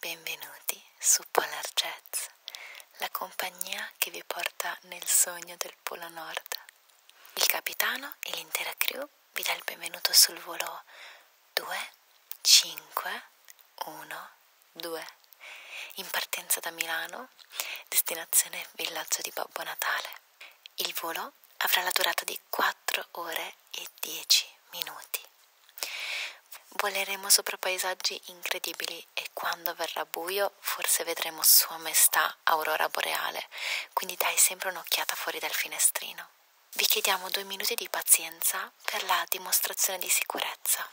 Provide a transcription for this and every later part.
Benvenuti su Polar Jets, la compagnia che vi porta nel sogno del Polo Nord. Il capitano e l'intera crew vi dà il benvenuto sul volo 2, 5, 1, 2, in partenza da Milano, destinazione villaggio di Babbo Natale. Il volo video avrà la durata di 4 ore e 10 minuti. Voleremo sopra paesaggi incredibili e quando verrà buio forse vedremo Sua Maestà Aurora Boreale, quindi dai sempre un'occhiata fuori dal finestrino. Vi chiediamo due minuti di pazienza per la dimostrazione di sicurezza.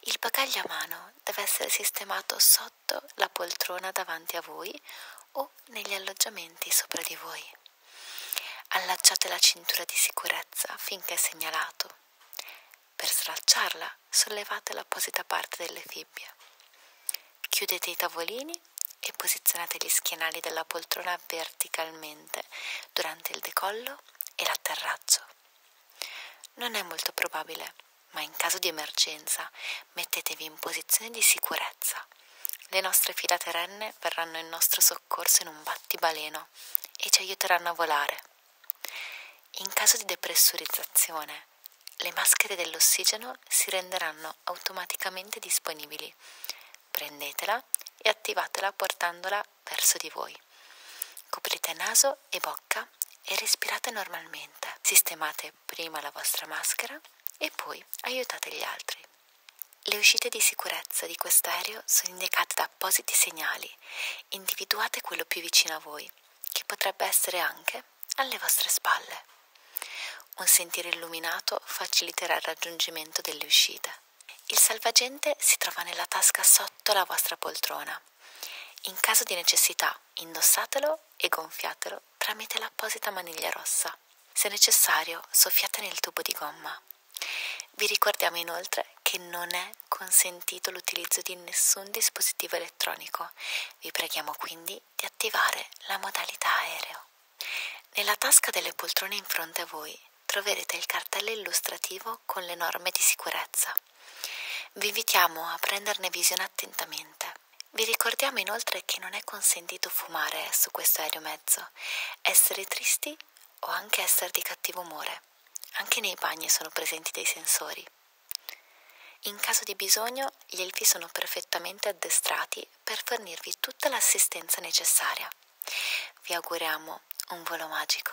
Il bagaglio a mano deve essere sistemato sotto la poltrona davanti a voi o negli alloggiamenti sopra di voi. Allacciate la cintura di sicurezza finché è segnalato. Per slacciarla sollevate l'apposita parte delle fibbie. Chiudete i tavolini e posizionate gli schienali della poltrona verticalmente durante il decollo e l'atterraggio. Non è molto probabile, ma in caso di emergenza mettetevi in posizione di sicurezza le nostre fila terrenne verranno in nostro soccorso in un battibaleno e ci aiuteranno a volare. In caso di depressurizzazione, le maschere dell'ossigeno si renderanno automaticamente disponibili. Prendetela e attivatela portandola verso di voi. Coprite naso e bocca e respirate normalmente. Sistemate prima la vostra maschera e poi aiutate gli altri. Le uscite di sicurezza di quest'aereo sono indicate da appositi segnali. Individuate quello più vicino a voi, che potrebbe essere anche alle vostre spalle. Un sentiero illuminato faciliterà il raggiungimento delle uscite. Il salvagente si trova nella tasca sotto la vostra poltrona. In caso di necessità, indossatelo e gonfiatelo tramite l'apposita maniglia rossa. Se necessario, soffiate nel tubo di gomma. Vi ricordiamo inoltre che non è consentito l'utilizzo di nessun dispositivo elettronico. Vi preghiamo quindi di attivare la modalità aereo. Nella tasca delle poltrone in fronte a voi troverete il cartello illustrativo con le norme di sicurezza. Vi invitiamo a prenderne visione attentamente. Vi ricordiamo inoltre che non è consentito fumare su questo aeromezzo gioia, essere tristi o anche essere di cattivo umore. Anche nei bagni sono presenti dei sensori. In caso di bisogno, gli elfi sono perfettamente addestrati per fornirvi tutta l'assistenza necessaria. Vi auguriamo un volo magico.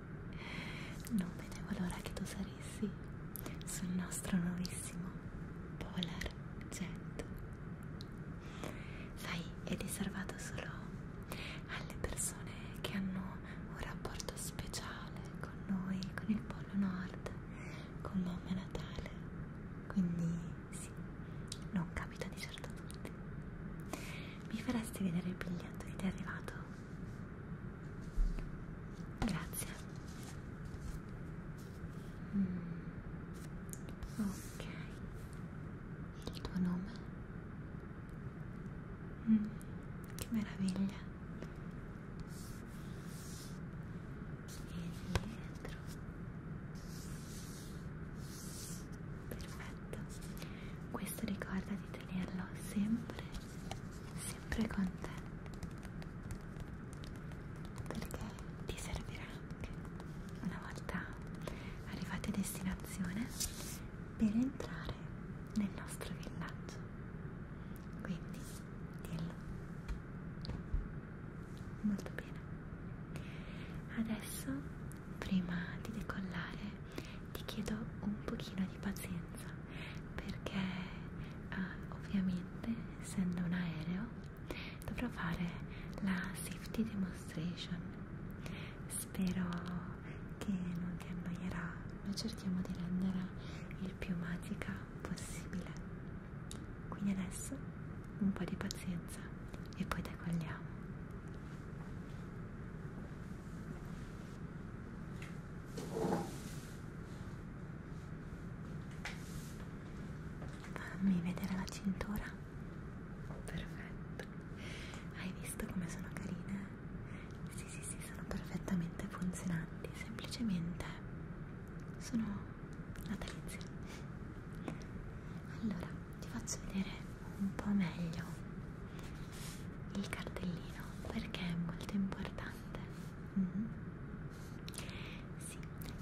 Non vedevo l'ora che tu saressi sul nostro nuovissimo Polar Jet. Sai, è riservato solo alle persone che hanno un rapporto speciale con noi, con il Polo Nord, con Mamma Natale. Quindi sì, non capita di certo a tutti. Mi faresti vedere il biglietto che ti è arrivato? Grazie. Mm. Ok. Il tuo nome? Mm. Che meraviglia. E dietro. Perfetto. Questo ricordati tenerlo sempre, sempre con te perché ti servirà anche una volta arrivati a destinazione per entrare nel nostro villaggio quindi dillo molto bene adesso prima di decollare ti chiedo un pochino di pazienza perché uh, ovviamente essendo un aereo dovrò fare la safety demonstration spero che non ti annoierà noi cerchiamo di rendere il più magica possibile quindi adesso un po' di pazienza e poi decolliamo Fammi vedere la cintura. Perfetto. Hai visto come sono carine? Sì, sì, sì, sono perfettamente funzionanti. Semplicemente sono natalizie. Allora, ti faccio vedere un po' meglio il cartellino perché è molto importante mm -hmm. sì,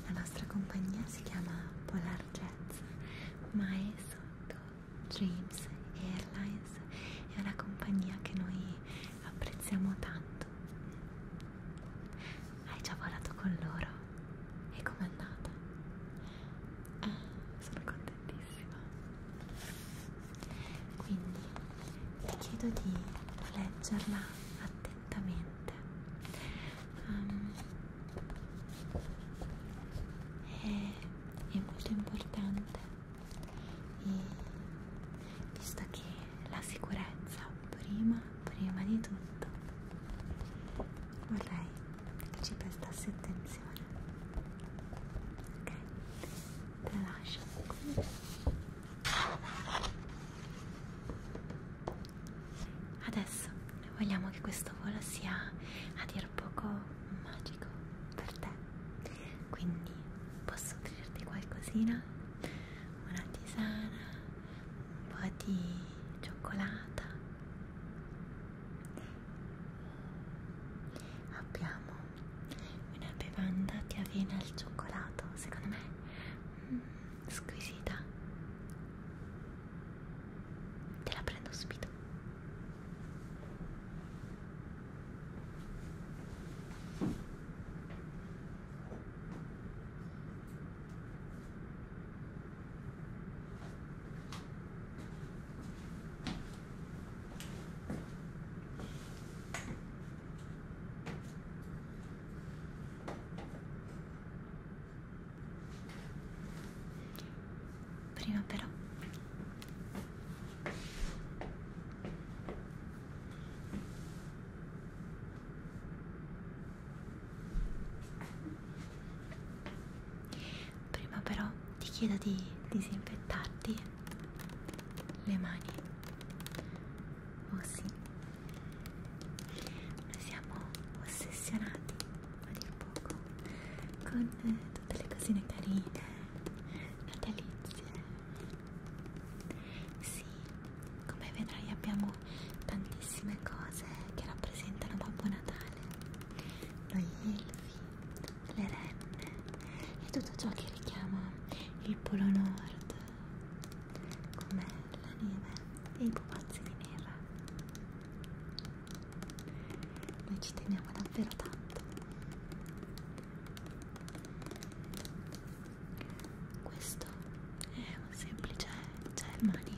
la nostra compagnia si chiama Polar Jets ma è sotto Dreams Airlines è una compagnia che noi apprezziamo tanto hai già volato con loro? e com'è andata? Eh, sono contenta attentissima quindi ti chiedo di leggerla attentamente um, è, è molto importante e visto che la sicurezza prima prima di tutto vorrei che ci prestassi attenzione ok rilascia qui adesso noi vogliamo che questo volo sia a dir poco magico per te quindi posso offrirti qualcosina una tisana un po' di cioccolata abbiamo una bevanda di avena al cioccolato, secondo me mm, squisita. Te la prendo subito. Prima però prima però ti chiedo di disinfettarti le mani oh sì noi siamo ossessionati a dir poco con eh, tutte le cosine carine natalizie sì come vedrai abbiamo tantissime cose che rappresentano Babbo Natale noi elfi le renne e tutto ciò che richiama il polo nord come la neve e i pupazzi di neve noi ci teniamo davvero tanto questo è un semplice gel mani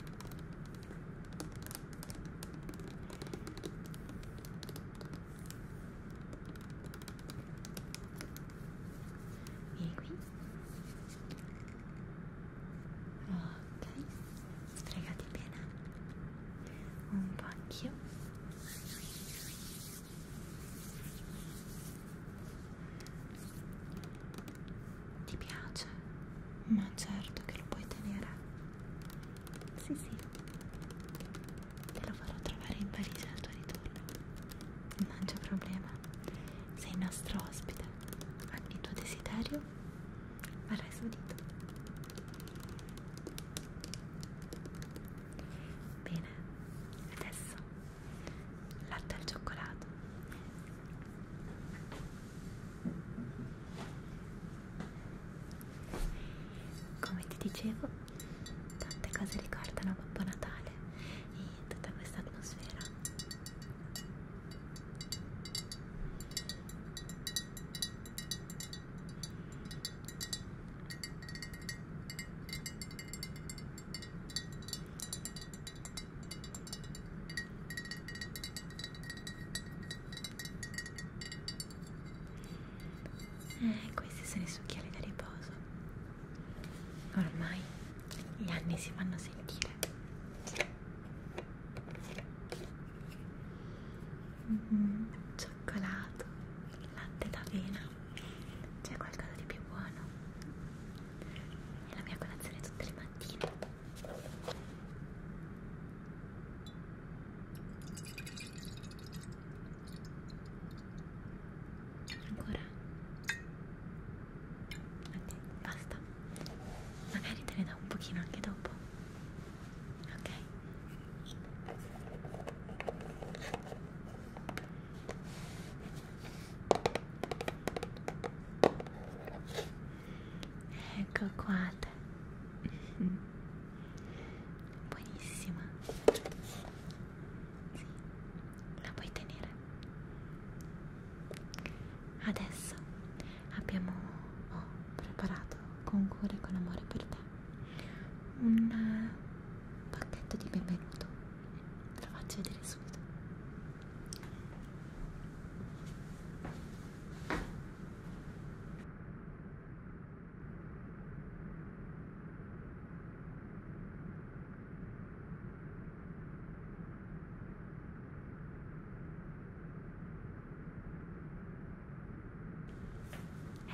Vieni qui. Ok, sfregati bene. Un po' anch'io. Ti piace? Ma certo che lo puoi tenere. Sì, sì. Te lo farò trovare in Parigi al tuo ritorno. Non c'è problema. Sei nostro ospite. Ogni tuo desiderio verrà esaudito. Bene, adesso latte al cioccolato come ti dicevo tante cose ricordano Babbo Natale e tutta questa atmosfera eh, questi sono i succhieri da riposo. Ormai gli anni si fanno sentire. Mm -hmm. Cioccolato, latte d'avena. C'è qualcosa di più buono? È la mia colazione tutte le mattine. Ancora? Ok, basta. Magari te ne do un pochino anche dopo. Ok. Ecco qua te. buonissima sì, la puoi tenere adesso abbiamo oh, preparato con cura e con amore per te un pacchetto di benvenuto te lo faccio vedere subito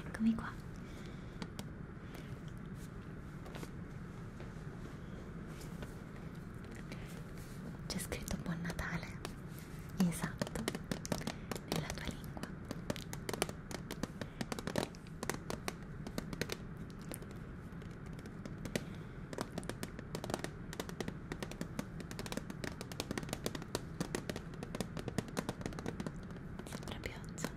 Eccomi qua. C'è scritto Buon Natale. Esatto. Nella tua lingua. Sembra piazza.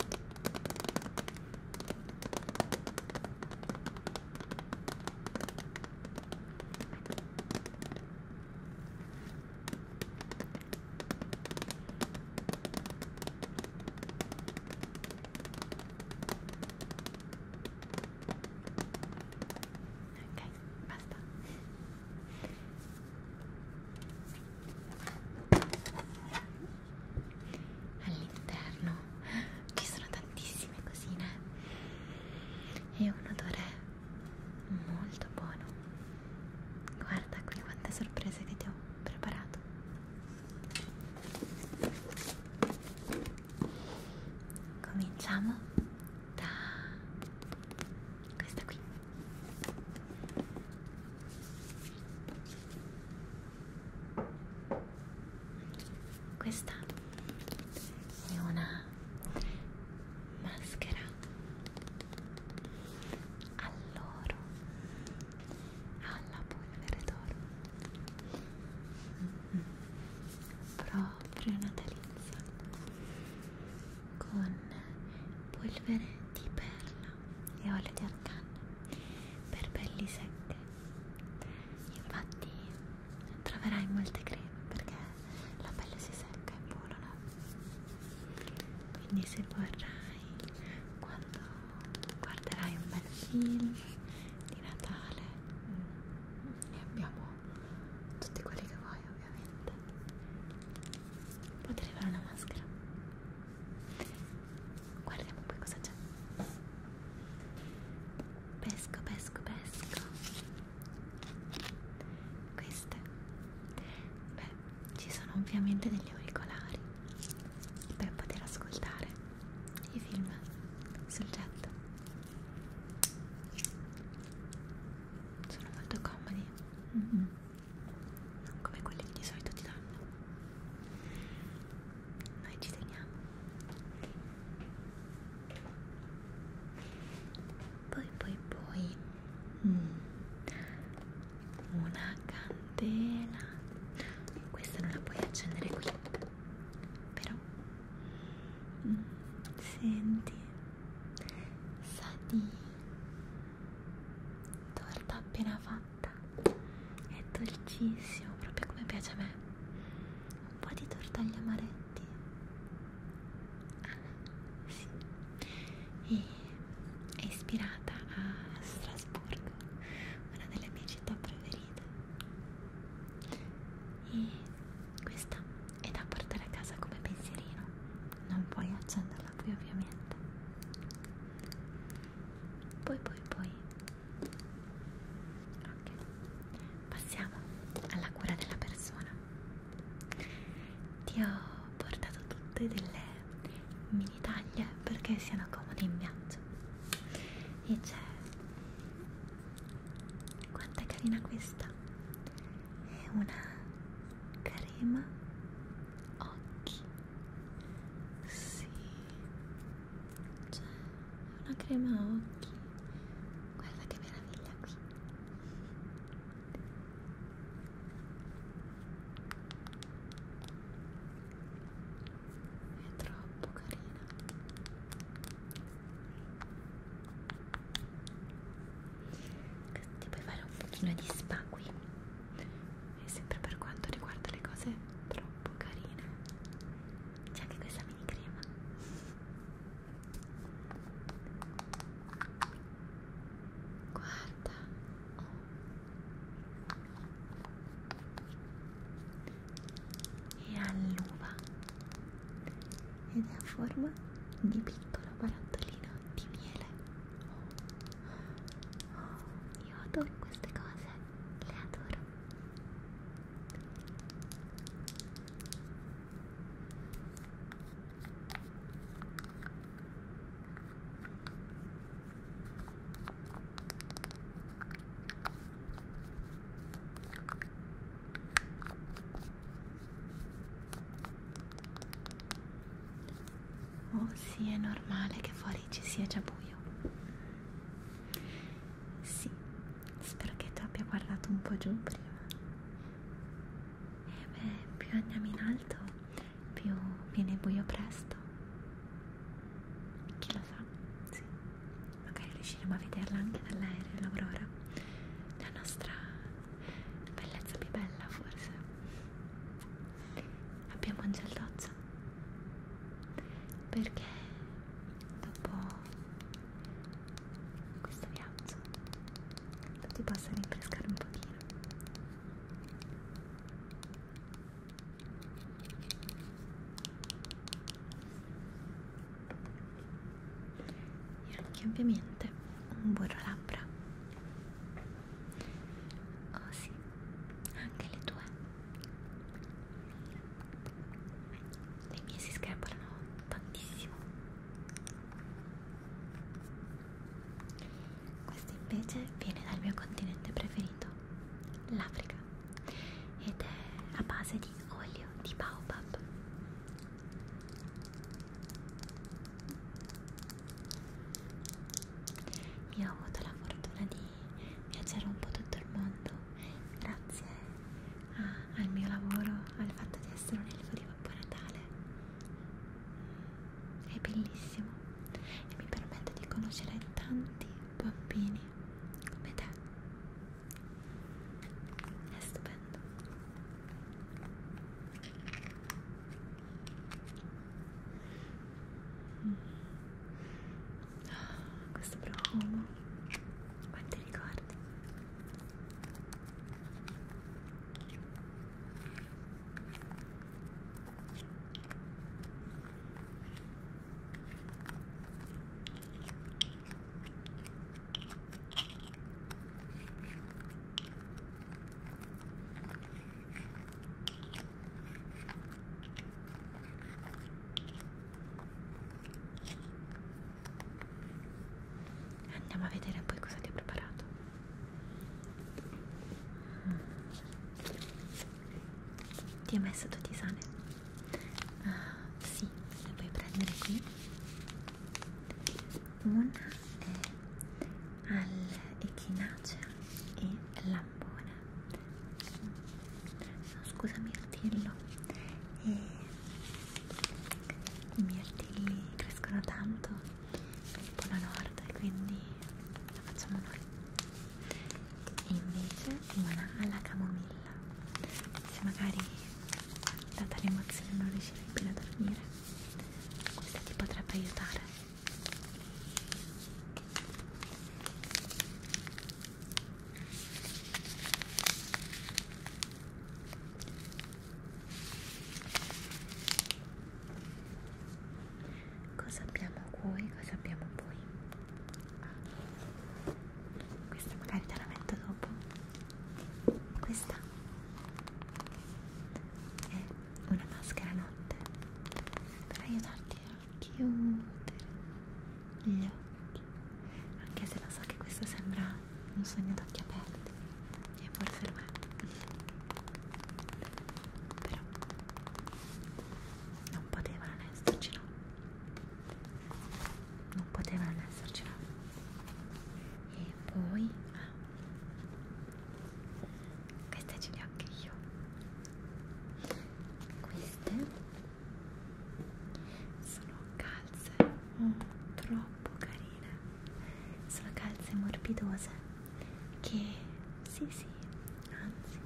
Ok, basta. All'interno ci sono tantissime cosine e un odore molto buono Guarda qui quante sorprese che ti ho preparato. Cominciamo da questa qui. Questa è una maschera all'oro alla polvere d'oro mm -hmm. proprio natalizia con polvere di perla e olio di arcano per pelli secche infatti troverai molte creme perché la pelle si secca e vola quindi se vorrai quando guarderai un bel film di Natale mm, e abbiamo tutti quelli che vuoi ovviamente potrei fare una maschera guardiamo poi cosa c'è pesco pesco pesco queste beh ci sono ovviamente degli auricolari per poter ascoltare i film sul jet sono molto comodi mm -hmm. non come quelli che di solito ti danno noi ci teniamo poi poi poi mm una candela questa non la puoi accendere qui però mm, senti sa di torta appena fatta è dolcissimo proprio come piace a me un po' di torta agli amaretti ah, sì. e è ispirata a Strasburgo, una delle mie città preferite. E questa è da portare a casa come pensierino, non puoi accenderla qui ovviamente. Poi poi poi. Ok, passiamo alla cura della persona. Ti ho portato tutte delle mini taglie perché siano comode in viaggio e c'è quanto è carina questa è una crema occhi sì c'è cioè, una crema occhi guarda che meraviglia qui è troppo carina ti puoi fare un pochino di spa qui e sempre per quanto riguarda le cose troppo carine c'è anche questa mini crema guarda oh è all'uva ed è a forma di piccolo barattolino di miele. Oh, io adoro queste cose, le adoro. Oh sì, è normale che fuori ci sia già buio. Sì, spero che tu abbia guardato un po' giù prima. E eh beh, più andiamo in alto più viene buio presto. Chi lo sa? Sì. Magari riusciremo a vederla anche dall'aereo, l'aurora. La nostra bellezza più bella, forse. Abbiamo un gel doccia. Perché dopo questo viaggio tu ti possa rinfrescare un pochino e anche ovviamente un burro labbra oh sì anche le tue le mie si screpolano tantissimo questo invece viene dal mio continente preferito l'Africa ed è a base di olio di baobab io ho avuto la fortuna di viaggiare un po' tutto il mondo grazie a, al mio lavoro al fatto di essere un elfo di Babbo Natale è bellissimo e mi permette di conoscere tanti bambini come te è stupendo mm. oh, questo profumo quanti ricordi Andiamo a vedere poi cosa ti ho preparato. Mm. Ti hai mai sotto di sale? Uh, sì, le puoi prendere qui. Una è all'echinacea e lampone. No, scusa, mirtillo. E eh, I mirtilli crescono tanto nel Polo Nord, quindi la facciamo noi e invece prima alla camomilla se magari data l'emozione non riuscivi più a dormire questa ti potrebbe aiutare Cosa abbiamo qui? Cosa abbiamo poi? Questa magari te la metto dopo. Questa è una maschera notte per aiutarti a chiudere gli occhi. Anche se lo so che questo sembra un sogno ad occhi aperti. E forse lo è. Però non poteva non esserci no non poteva non esserci no e poi ah, queste ce le ho anche io queste sono calze oh, troppo carine sono calze morbidose che sì sì anzi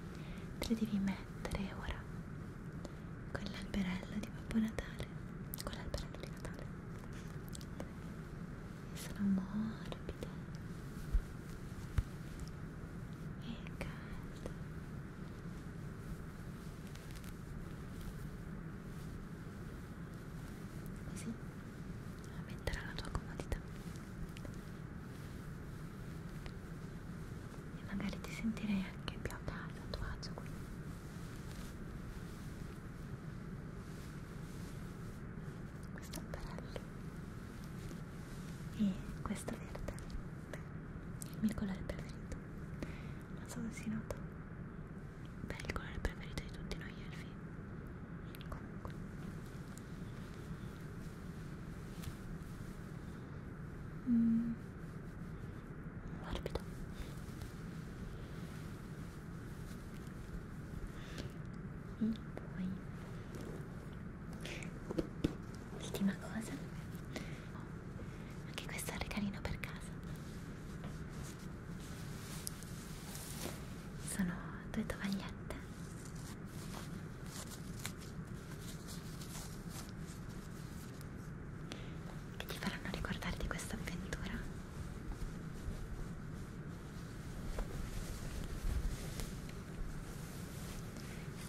te le devi mettere ora con l'alberello di Babbo Natale con l'alberello di Natale e sono morbide e calde così aumenterà la tua comodità e magari ti sentirei anche più a casa, a tuo agio qui. Questo è bello e questo verde è il mio colore preferito, non so se si nota, beh il colore preferito di tutti noi elfi, comunque mm. morbido e poi ultima cosa oh, anche questo è un regalino per casa sono due tovagliette che ti faranno ricordare di questa avventura.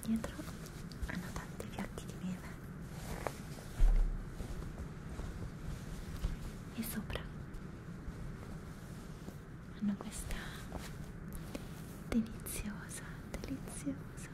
Dietro hanno tanti fiocchi di neve e sopra hanno questa deliziosa, deliziosa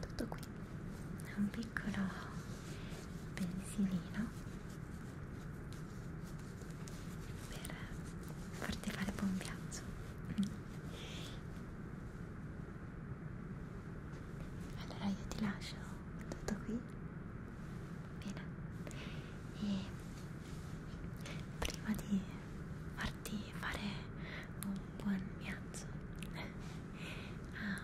tutto qui un piccolo pensilino per farti fare buon viaggio allora io ti lascio tutto qui bene e prima di farti di fare un buon viaggio ah,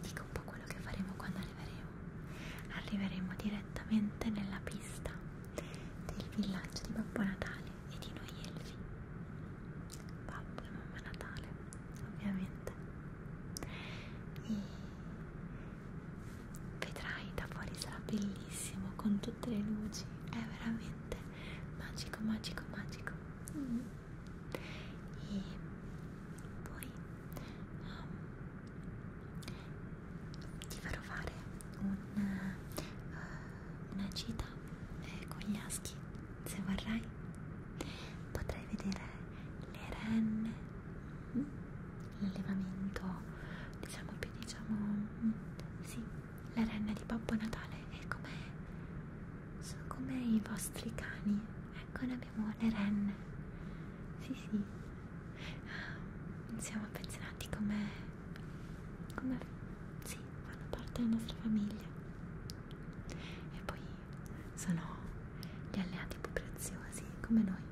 dico un po' quello che faremo quando arriveremo arriveremo direttamente nella pista del villaggio di Babbo Natale e di noi elfi Babbo e Mamma Natale ovviamente e vedrai da fuori sarà bellissimo con tutte le luci è veramente magico magico magico mm. e poi um, ti farò fare una, uh, una gita eh, con gli aschi se vorrai potrai vedere le renne mm. l'allevamento diciamo più diciamo mm, sì la renna di Babbo Natale è come sono come i vostri cani ecco noi abbiamo le renne sì sì ah, siamo affezionati come come sì fanno parte della nostra famiglia e poi sono gli alleati più preziosi come noi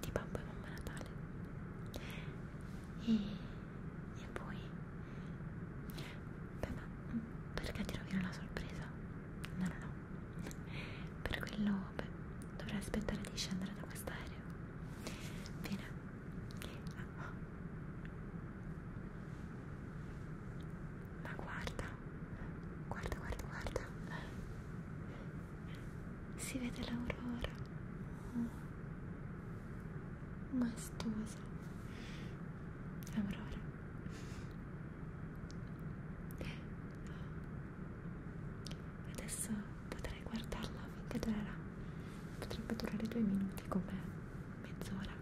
di Babbo e Mamma Natale e, e poi beh ma perché ti rovino la sorpresa? no no no per quello beh dovrai aspettare di scendere da quest'aereo bene ah. ma guarda guarda guarda guarda si vede l'aurora oh. maestosa Aurora adesso potrei guardarla finché durerà potrebbe durare due minuti come mezz'ora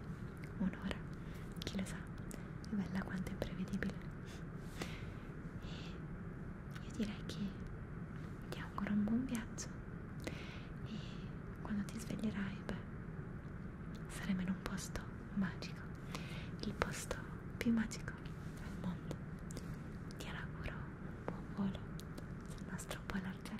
un'ora chi lo sa è bella quanto imprevedibile e io direi che ti auguro un buon viaggio quando ti sveglierai, beh, saremo in un posto magico, il posto più magico al mondo. Ti auguro un buon volo sul nostro polo argento.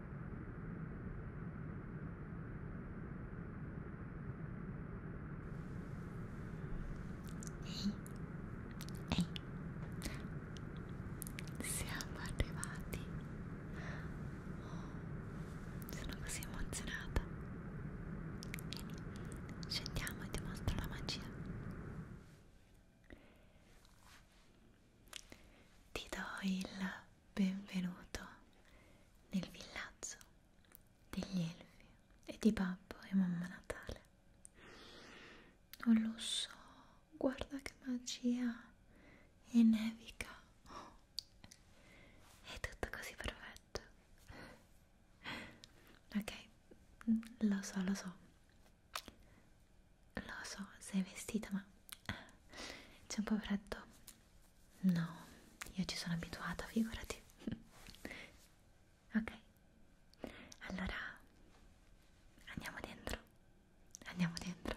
Ehi, ehi, siamo arrivati. Oh, sono così emozionata. Vieni, scendiamo e ti mostro la magia. Ti do il Benvenuto nel villaggio degli elfi e di babbo e mamma Natale. Non lo so, guarda che magia e nevica. Oh, è tutto così perfetto. Ok, lo so, lo so. Lo so, sei vestita, ma c'è un po' freddo. No, io ci sono abituata, figurati. ok, allora andiamo dentro. Andiamo dentro.